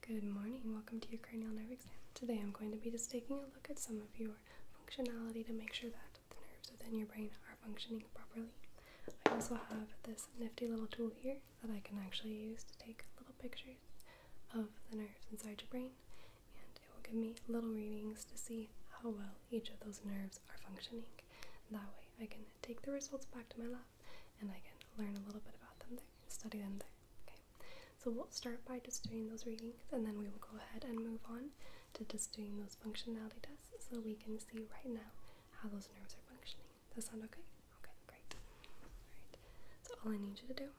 Good morning, welcome to your cranial nerve exam. Today I'm going to be just taking a look at some of your functionality to make sure that the nerves within your brain are functioning properly. I also have this nifty little tool here that I can actually use to take little pictures of the nerves inside your brain, and it will give me little readings to see how well each of those nerves are functioning. that way I can take the results back to my lab and I can learn a little bit about them there, study them there. Okay, so we'll start by just doing those readings, and then we will go ahead and move on to just doing those functionality tests so we can see right now how those nerves are functioning. Does that sound okay? Okay, great. Alright, so all I need you to do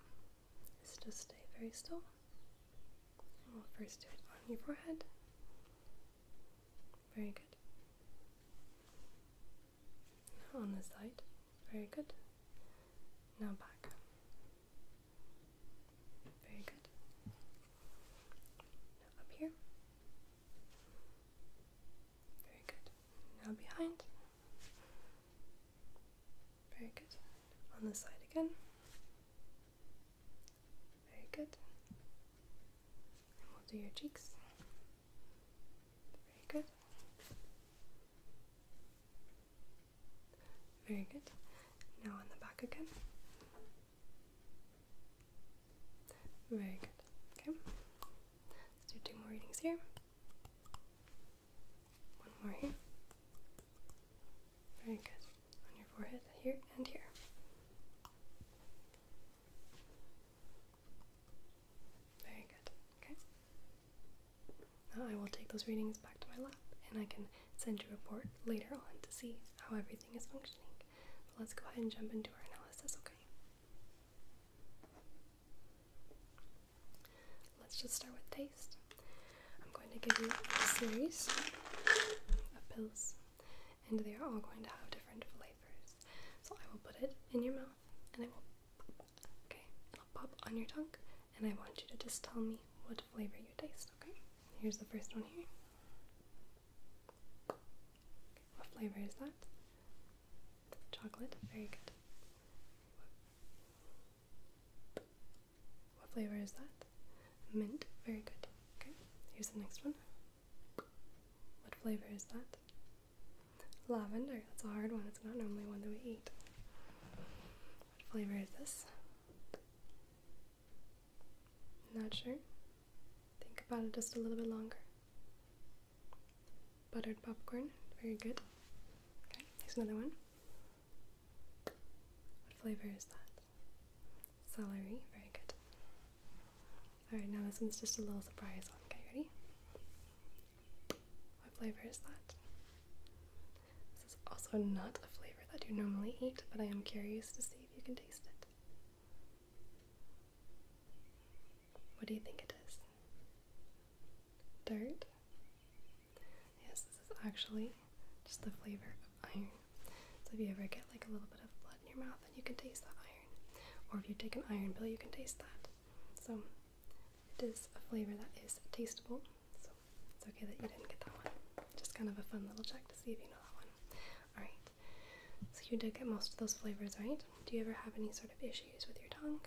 is just stay very still. And we'll first do it on your forehead. Very good on the side. Very good. Now back. Very good. up here. Very good. Now behind. Very good. On the side again. Very good. And we'll do your cheeks. Very good. Very good. Now on the back again. Very good. Okay. Let's do two more readings here. One more here. Very good. On your forehead, here and here. Very good. Okay. I will take those readings back to my lab and I can send you a report later on to see how everything is functioning. But let's go ahead and jump into our analysis, okay? Let's just start with taste. I'm going to give you a series of pills and they are all going to have different flavors. So I will put it in your mouth and I will okay, it'll pop on your tongue and I want you to just tell me what flavor you taste, okay? Here's the first one here. What flavor is that? Chocolate, very good. what flavor is that? Mint, very good. Okay, here's the next one. What flavor is that? Lavender. That's a hard one. It's not normally one that we eat. What flavor is this? Not sure. Think about it just a little bit longer. Buttered popcorn. Very good. Okay, here's another one. What flavor is that? Celery. Very good. Alright, now this one's just a little surprise one. Okay, ready? What flavor is that? This is also not a flavor that you normally eat, but I am curious to see if you can taste it. What do you think it is? Dirt? Yes, this is actually just the flavor of iron. So if you ever get like a little bit of blood in your mouth, then you can taste that iron. Or if you take an iron pill, you can taste that. So it is a flavor that is tastable. So it's okay that you didn't get that one. Just kind of a fun little check to see if you know that one. Alright, so you did get most of those flavors, right? Do you ever have any sort of issues with your tongue?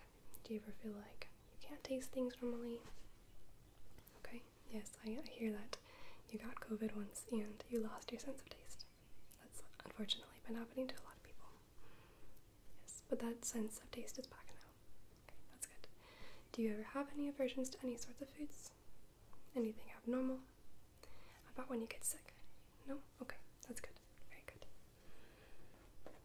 Do you ever feel like you can't taste things normally? Okay, yes, I hear that you got COVID once and you lost your sense of taste. That's unfortunately been happening to a lot of people. Yes, but that sense of taste is back now. that's good. Do you ever have any aversions to any sorts of foods? Anything abnormal? About when you get sick? No? Okay, that's good. Very good. Alright,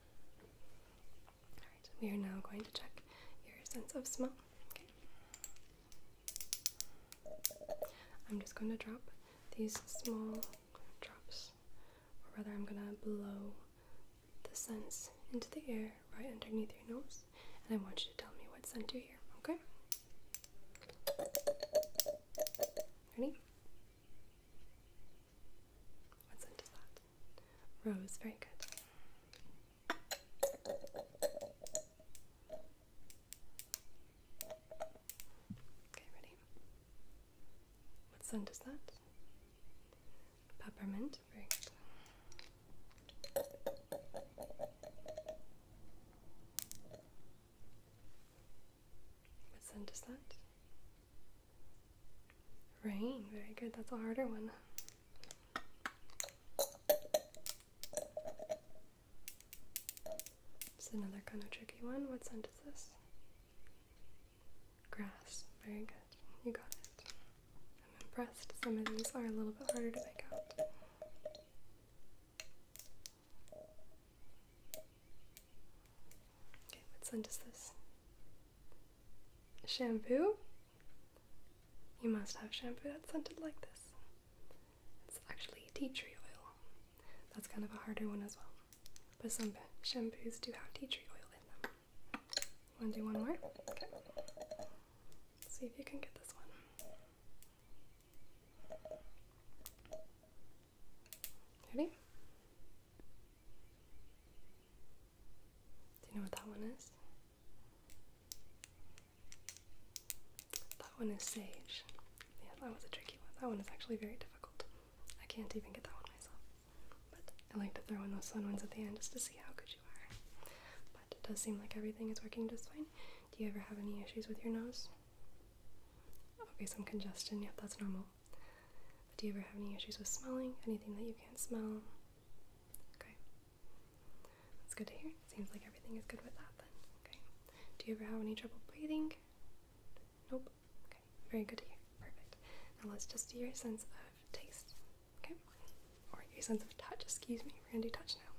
we are now going to check your sense of smell. Okay. I'm just going to drop these small drops, or rather, I'm going to blow the scents into the air right underneath your nose, and I want you to tell me what scent you hear, okay? Ready? What scent is that? Rose, very good. Okay, ready? What scent is that? Peppermint, very good. What scent is that? Rain, very good. That's a harder one. It's another kind of tricky one. What scent is this? Grass. Very good. You got it. I'm impressed. Some of these are a little bit harder to pick out. Okay, what scent is this? Shampoo? You must have shampoo that's scented like this. It's actually tea tree oil. That's kind of a harder one as well. But some shampoos do have tea tree oil in them. Wanna do one more? Okay. see if you can get this one. Ready? Do you know what that one is? That one is Sage. Yeah, that was a tricky one. That one is actually very difficult. I can't even get that one myself. But I like to throw in those fun ones at the end just to see how good you are. But it does seem like everything is working just fine. Do you ever have any issues with your nose? Okay, some congestion. Yep, that's normal. do you ever have any issues with smelling? Anything that you can't smell? Okay. That's good to hear. Seems like everything is good with that then. Okay. Do you ever have any trouble breathing? Nope. Okay. Very good to hear. Perfect. Now let's just do your sense of taste. Okay. Or your sense of touch, excuse me. We're gonna do touch now.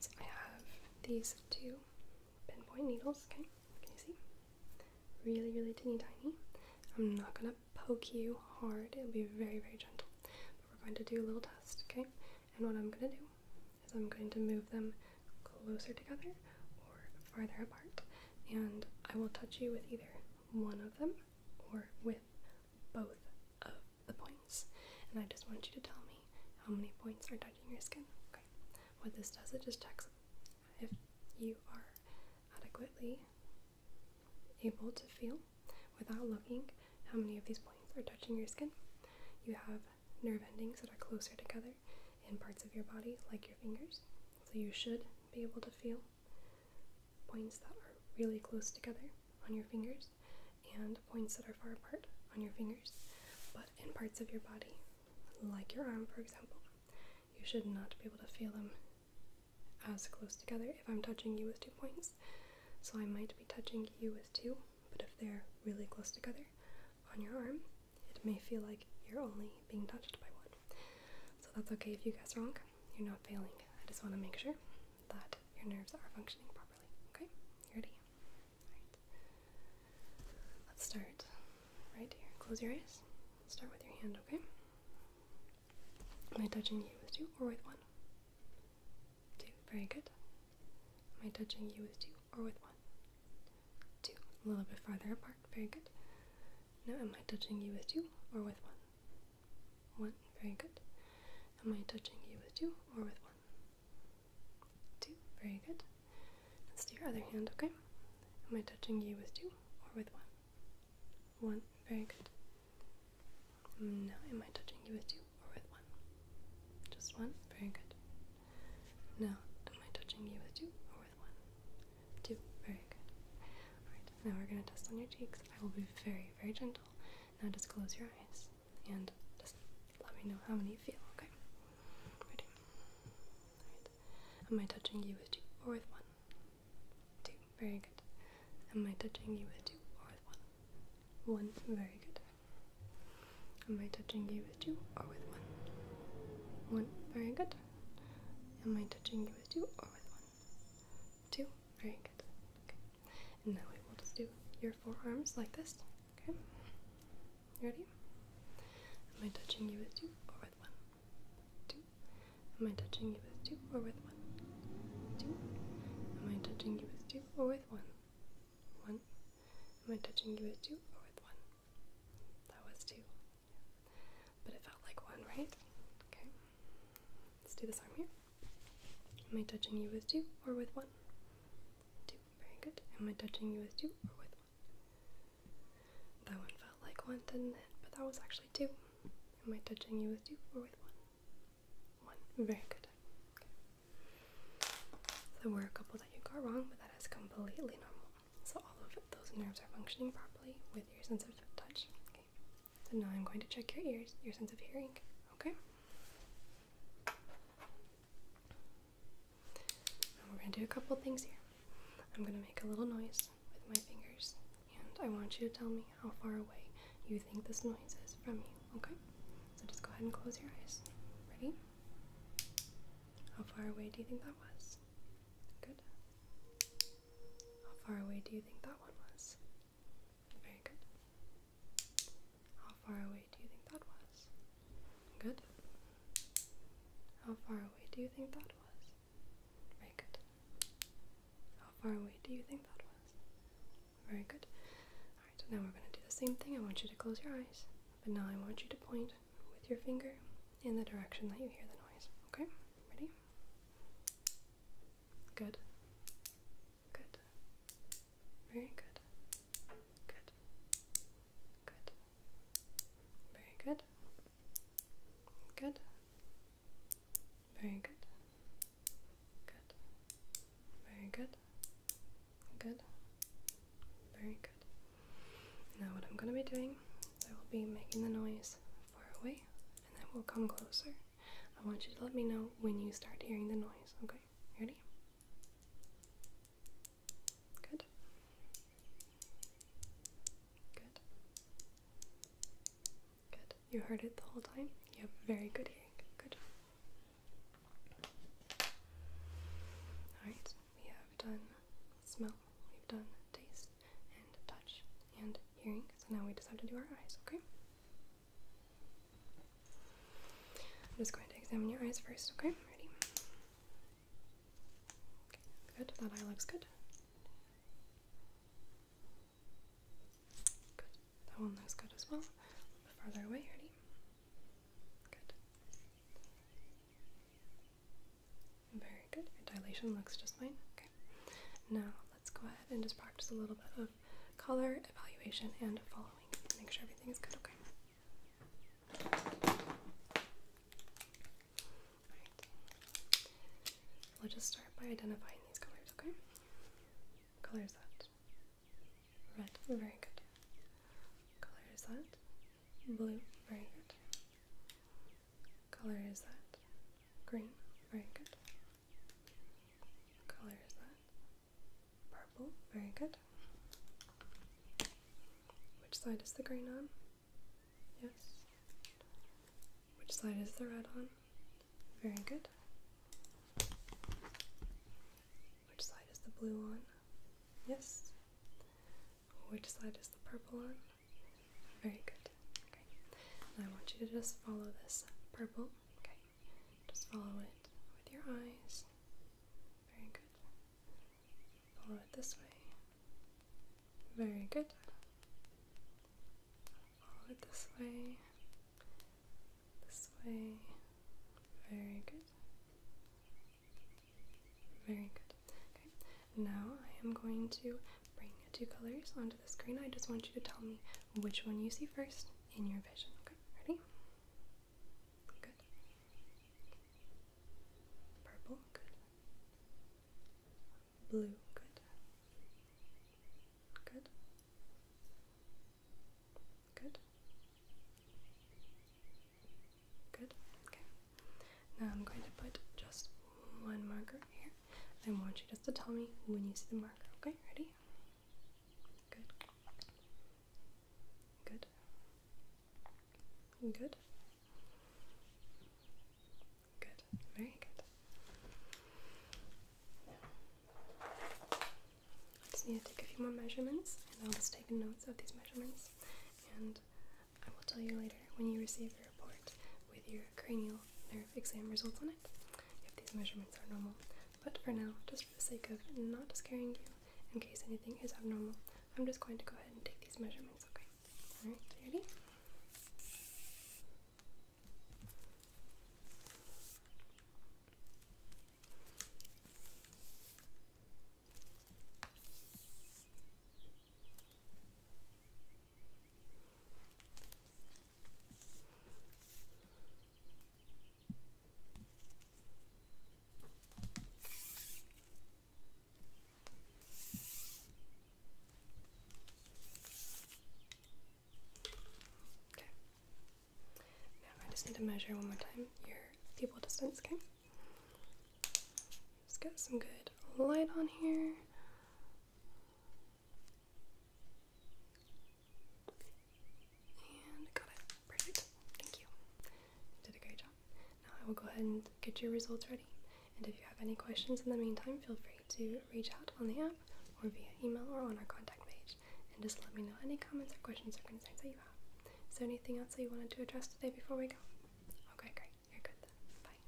So I have these two pinpoint needles, okay? Can you see? Really, really teeny tiny. I'm not gonna poke you hard. It'll be very, very gentle. we're going to do a little test, okay? And what I'm going to do is I'm going to move them closer together or farther apart. And I will touch you with either one of them or with both of the points. And I just want you to tell me how many points are touching your skin. Okay. What this does, it just checks if you are adequately able to feel without looking how many of these points are touching your skin. You have nerve endings that are closer together in parts of your body, like your fingers, so you should be able to feel points that are really close together on your fingers and points that are far apart on your fingers, but in parts of your body, like your arm, for example, you should not be able to feel them as close together if I'm touching you with two points. So I might be touching you with two, but if they're really close together on your arm, it may feel like you're only being touched by one. So that's okay if you guess wrong. You're not failing. I just want to make sure that your nerves are functioning properly. Okay? You ready? Let's start right here. Close your eyes. Start with your hand, okay? Am I touching you with two or with one? Two. Very good. Am I touching you with two or with one? Two. A little bit farther apart. Very good. Now, am I touching you with two or with one? One. Very good. Am I touching you with two or with one? Two. Very good. Let's do your other hand, okay? Am I touching you with two or with one? One, very good. Now, am I touching you with two or with one? Just one, very good. Now, am I touching you with two or with one? Two, very good. now we're gonna test on your cheeks. I will be very, very gentle. Now just close your eyes and just let me know how many you feel, okay? Ready? Am I touching you with two or with one? Two. Very good. Am I touching you with two or with one? One. Very good. Am I touching you with two or with one? One. Very good. Am I touching you with two or with one? Two. Very good. Okay. And now we will just do your forearms like this. Okay. Ready? Am I touching you with two or with one? Two. Am I touching you with two or with one? Two. Am I touching you with two or with one? One. Am I touching you with two or with one? That was two. But it felt like one, right? Okay. Let's do this arm here. Am I touching you with two or with one? Two. Very good. Am I touching you with two or with that one felt like one, didn't it? But that was actually two. Am I touching you with two or with one? One. Very good. there were a couple that you got wrong, but that is completely normal. So all of those nerves are functioning properly with your sense of touch. Okay. So now I'm going to check your ears, your sense of hearing. Okay we're going to do a couple things here. I'm going to make a little noise with my fingers, and I want you to tell me how far away you think this noise is from you, okay? So just go ahead and close your eyes. Ready? How far away do you think that was? Good. How far away do you think that one was? Very good. How far away do you think that was? Good. How far away do you think that was? Very good. How far away do you think that was? Very good. Alright, now we're going to do the same thing. I want you to close your eyes, but now I want you to point with your finger in the direction that you hear the noise. Okay? Ready? Good. Good. Very good. Good. Good. Very good. Good. Very good. Good. Very good. Good. Very good. Now, what I'm going to be doing, I will be making the noise far away and then we'll come closer. I want you to let me know when you start hearing the noise, okay? Ready? Good. Good. Good. You heard it the whole time? You have very good hearing. Good. Alright, we have done smell, we've done taste, and touch, and hearing. So now we just have to do our eyes, okay? I'm just going to examine your eyes first, okay? Ready? Okay, good. That eye looks good. Good. That one looks good as well. A little bit farther away, ready? Good. Very good. Your dilation looks just fine. Okay. Now let's go ahead and just practice a little bit of color, evaluation, and following. Make sure everything is good, okay? All right. We'll just start by identifying these colors, okay? color is that? Red, very good. color is that? Blue, very good. color is that? Green, very good. color is that? Purple, very good. Which side is the green on? Yes. Which side is the red on? Very good. Which side is the blue on? Yes. Which side is the purple on? Very good. Okay. I want you to just follow this purple. Okay. Just follow it with your eyes. Very good. Follow it this way. Very good. Follow it this way. This way. Very good. Very good. Okay, now I am going to bring two colors onto the screen. I just want you to tell me which one you see first in your vision. Okay, ready? Good. Purple, good. Blue, good. Good. Good. Good. Okay. Now I'm going to put just one marker here. I want you just to tell me when you see the marker. Okay, ready? Good. Good. Good. Good. Very good. I just need to take a few more measurements, and I'll just take notes of these measurements. And I will tell you later when you receive your report with your cranial their exam results on it if these measurements are normal. But for now, just for the sake of not scaring you, in case anything is abnormal, I'm just going to go ahead and take these measurements, okay? Alright, ready? Now I just need to measure one more time your pupil distance, okay? Just got some good light on here. And got it. Perfect. Thank you. Did a great job. Now I will go ahead and get your results ready. And if you have any questions in the meantime, feel free to reach out on the app or via email or on our contact page. And just let me know any comments or questions or concerns that you have. Is there anything else that you wanted to address today before we go? Okay, great. You're good then. Bye.